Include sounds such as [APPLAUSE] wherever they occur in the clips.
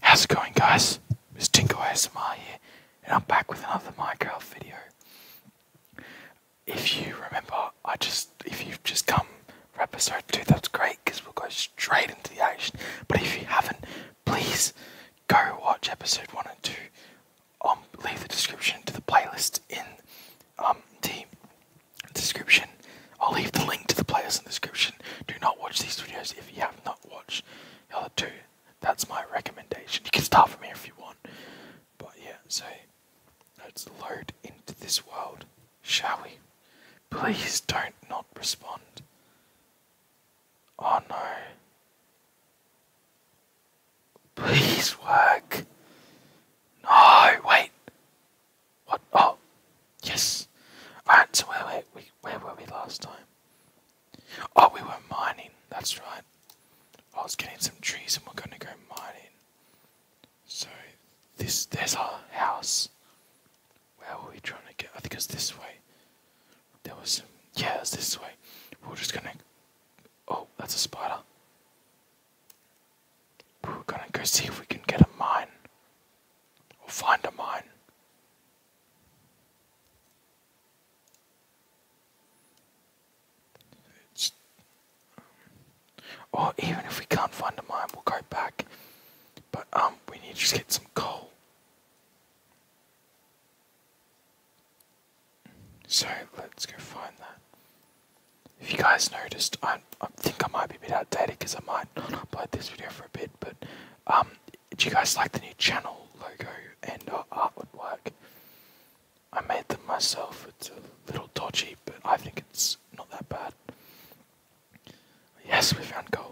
How's it going guys? It's Tinko ASMR here and I'm back with another Minecraft video. If you remember, I just if you've just come for episode 2 that's great because we'll go straight into the action. But if you haven't, please go watch episode 1 and 2. Um, leave the description to the playlist in um, the description. I'll leave the link to the playlist in the description. Do not watch these videos if you have not watch the other two. That's my recommendation. You can start from here if you want. But yeah, so let's load into this world, shall we? Please don't not respond. Oh no. Please work. No, wait. What? Oh, Yes. Right, so where were we, where were we last time? Oh, we were mining, that's right. I was getting some trees and we're gonna go mining. So, this, there's our house. Where were we trying to get? I think it's this way. There was yeah, it this way. We are just gonna, oh, that's a spider. We we're gonna go see if we can get a mine. Or find a mine. It's, even if we can't find a mine, we'll go back. But um, we need to get some coal. So let's go find that. If you guys noticed, I, I think I might be a bit outdated because I might not upload this video for a bit, but um, do you guys like the new channel logo and uh, artwork? I made them myself. It's a little dodgy, but I think it's not that bad. Yes, we found gold.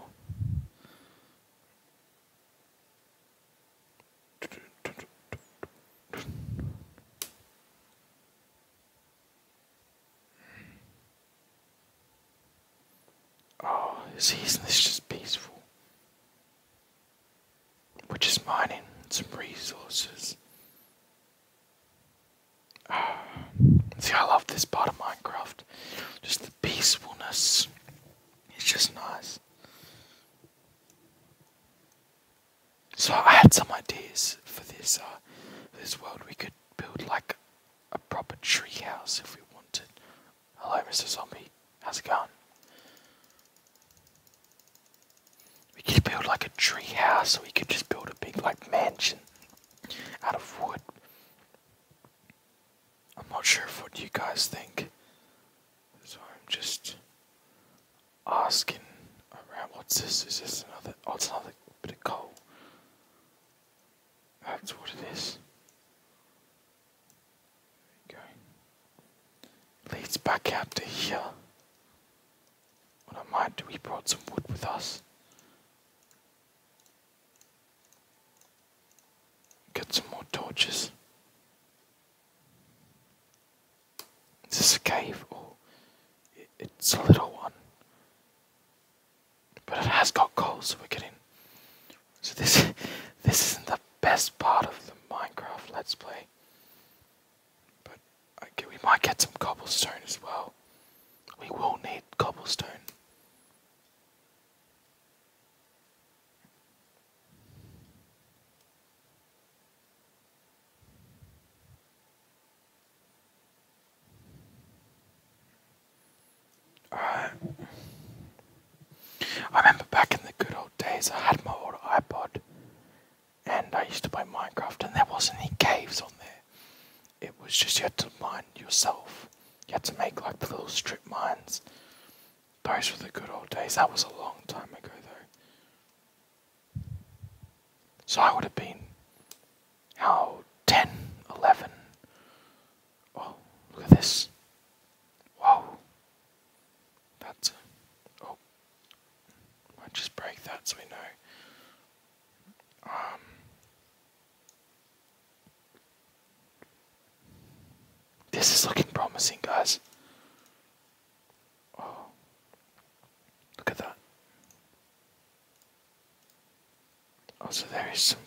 Oh, see, isn't this just peaceful? We're just mining some resources. Ah, see, I love this part of Minecraft. Just the peacefulness. It's just nice. So I had some ideas for this, uh, for this world. We could build like a proper tree house if we wanted. Hello, Mr. Zombie. How's it going? We could build like a tree house, or we could just build a big like mansion out of wood. I'm not sure of what you guys think, so I'm just asking around. What's this? Is this another? Oh, it's another bit of coal. That's what it is. There Leads back out to here. What I might do, we brought some wood with us. Get some more torches. It's a cave or oh, it's a little one? But it has got cold, so we're getting. So this, [LAUGHS] this isn't the best part of the Minecraft Let's Play. But we might get some cobblestone as well. We will need cobblestone. I remember back in the good old days, I had my old iPod and I used to play Minecraft, and there wasn't any caves on there. It was just you had to mine yourself. You had to make like the little strip mines. Those were the good old days. That was a long time ago, though. So I would have been how 10, 11. Oh, look at this. Wow. That's. oh. i just break that so we know. Um. This is looking promising, guys. Oh. Look at that. Oh, so there is some.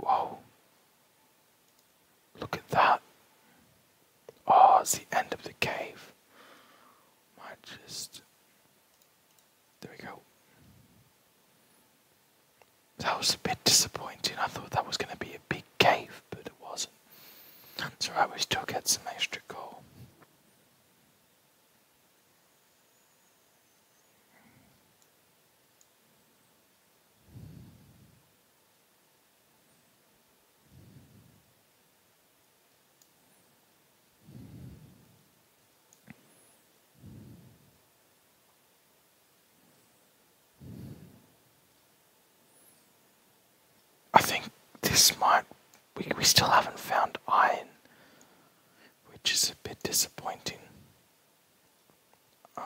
Whoa. Look at that. Oh, it's the end of the cave. Might just. There we go. That was a bit disappointing. I thought that was going to be a big cave, but it wasn't. So I was took had some extra coal. I think this might. We, we still haven't found iron which is a bit disappointing. Um,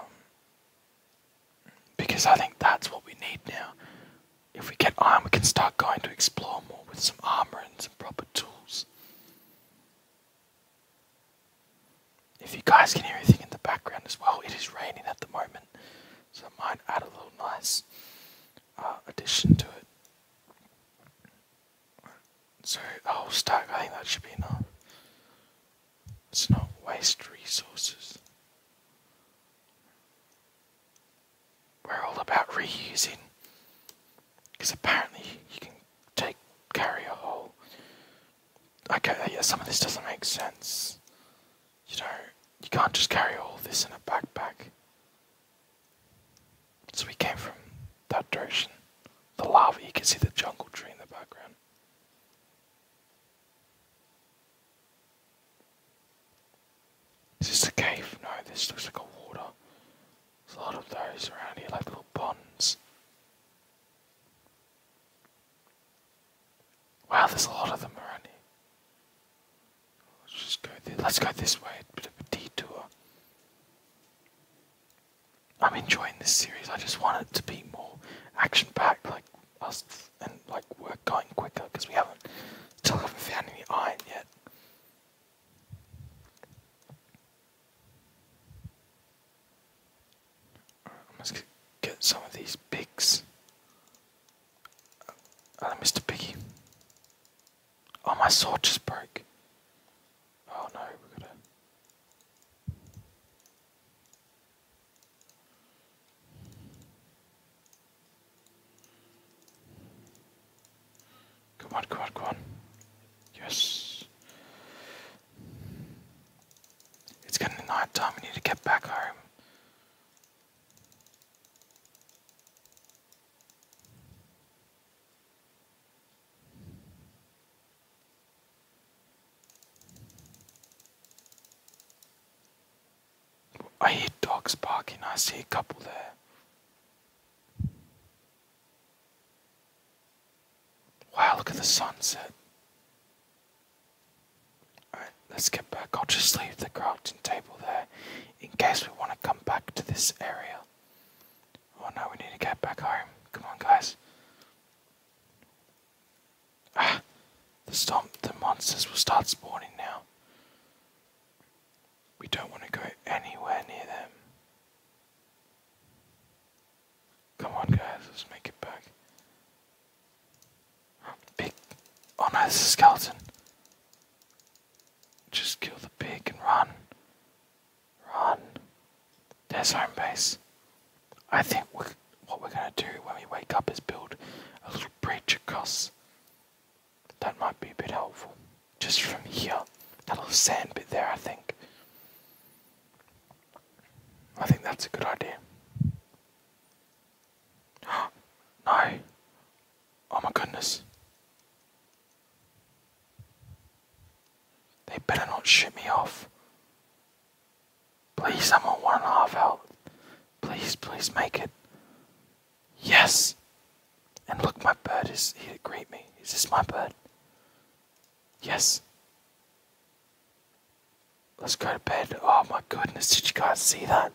because I think that's what we need now. If we get iron, we can start going to explore more with some armor and some proper tools. If you guys can hear anything in the background as well, it is raining at the moment, so I might add a little nice uh, addition to it. So the oh, whole stack, I think that should be enough. It's not waste resources. We're all about reusing. Because apparently you can take carry a whole. Okay, yeah, some of this doesn't make sense. You know, you can't just carry all this in a backpack. So we came from that direction. The lava, you can see the jungle tree in the background. Is this a cave? No, this looks like a water. There's a lot of those around here, like little ponds. Wow, there's a lot of them around here. Let's just go Let's go this way, a bit of a detour. I'm enjoying this series. I just want it to be more action-packed, like us, and like work going quicker because we haven't still haven't found any iron yet. I must get some of these pigs. Hello, uh, Mr. Piggy. Oh, my sword just broke. Oh no, Come on, come on, come on. Yes. It's getting night time, we need to get back home. I hear dogs barking. I see a couple there. Wow, look at the sunset. Alright, let's get back. I'll just leave the crafting table there in case we want to come back to this area. Oh no, we need to get back home. Come on, guys. Ah, the stomp. the monsters will start spawning now. We don't want to go anywhere near them. Come on, guys, let's make it back. Big. Oh no, this is a skeleton. Just kill the pig and run. Run. There's home base. I think what we're going to do when we wake up is build a little bridge across. That might be a bit helpful. Just from here. That little sand bit there, I think. I think that's a good idea. [GASPS] no! Oh my goodness. They better not shoot me off. Please, I'm on one and a half health. Please, please make it. Yes! And look, my bird is here to greet me. Is this my bird? Yes. Let's go to bed. Oh my goodness, did you guys see that?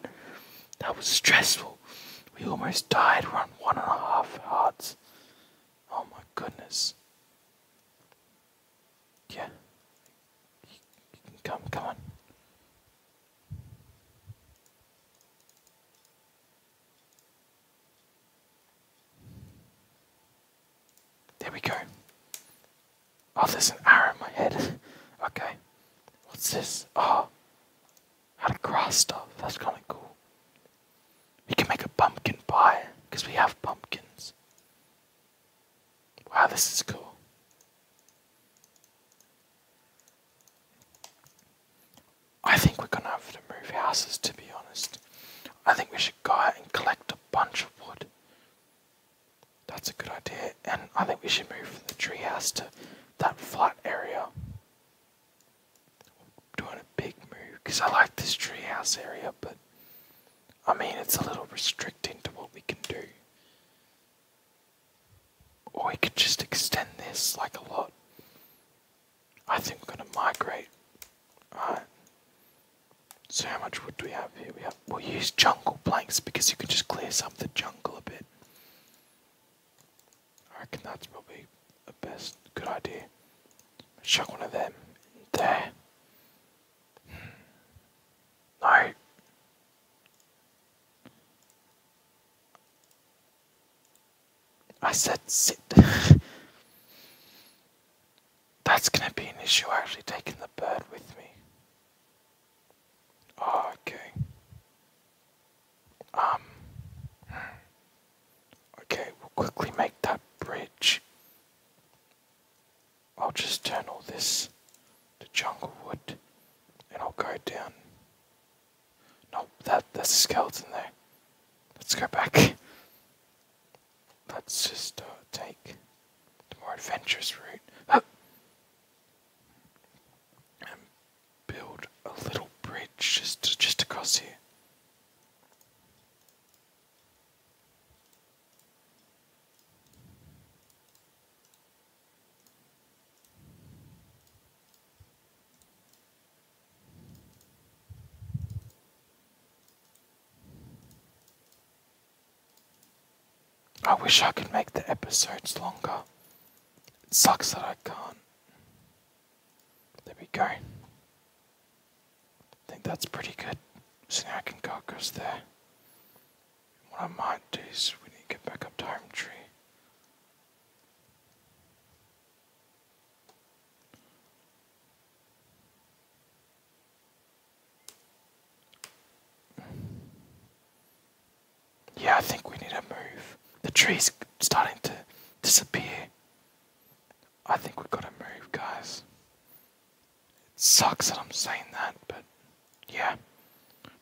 That was stressful. We almost died. We're on one and a half hearts. Oh my goodness. Yeah. come, come on. There we go. Oh, there's an arrow in my head. [LAUGHS] okay. What's this? Oh how to cross stuff. That's kind of cool. We can make a pumpkin pie because we have pumpkins. Wow, this is cool. I think we're gonna have to move houses to be honest. I think we should go out and collect a bunch of wood. That's a good idea, and I think we should move from the tree house to that flat area doing a big move because I like this treehouse area, but I mean it's a little restricting to what we can do. Or we could just extend this like a lot. I think we're gonna migrate. Alright. So how much wood do we have here? We have we'll use jungle planks because you can just clear some of the jungle a bit. I reckon that's probably the best good idea. Chuck one of them in there. Hmm. No. I said sit. [LAUGHS] That's going to be an issue actually taking the bird with me. Oh, okay. Um. Okay, we'll quickly make that bridge. I'll just turn all this to jungle wood and I'll go down. No, that, that's a skeleton there. Let's go back. Let's just uh, take the more adventurous route. [GASPS] Um, build a little bridge just just across here. I wish I could make the episodes longer. It sucks that I can't. There we go. I think that's pretty good. So now I can go across there. What I might do is we need to get back up to Home Tree. Yeah, I think we need to move. The tree's starting to disappear. I think we've got to move, guys. It sucks that I'm saying that, but yeah.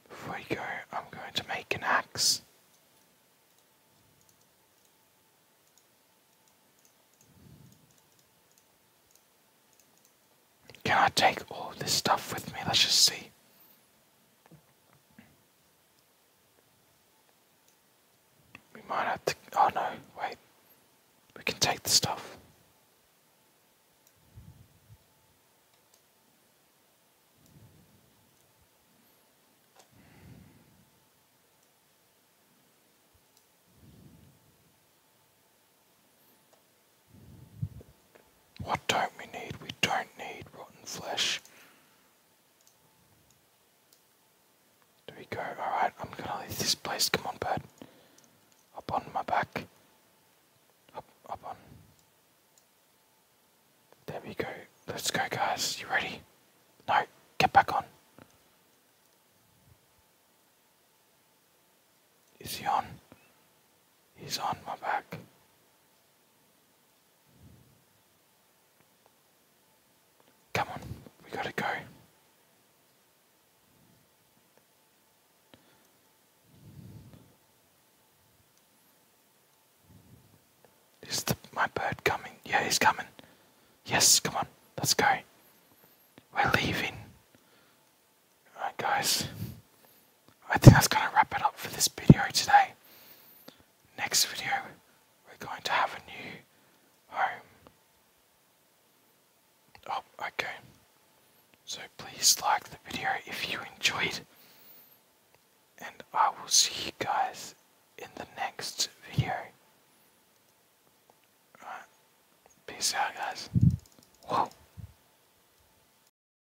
Before we go, I'm going to make an axe. Can I take all this stuff with me? Let's just see. We might have to. Oh no, wait. We can take the stuff. What don't we need? We don't need rotten flesh. There we go. Alright, I'm gonna leave this place. Come on, bird. Up on my back. Up, up on. There we go. Let's go, guys. You ready? No, get back on. Is he on? He's on my back. Come on, we gotta go. Is the, my bird coming? Yeah, he's coming. Yes, come on, let's go. We're leaving. Alright, guys. I think that's going to wrap it up for this video today. Next video, we're going to have a new home. Oh, okay. So please like the video if you enjoyed. And I will see you guys in the next video. Alright. Peace out, guys. Whoa.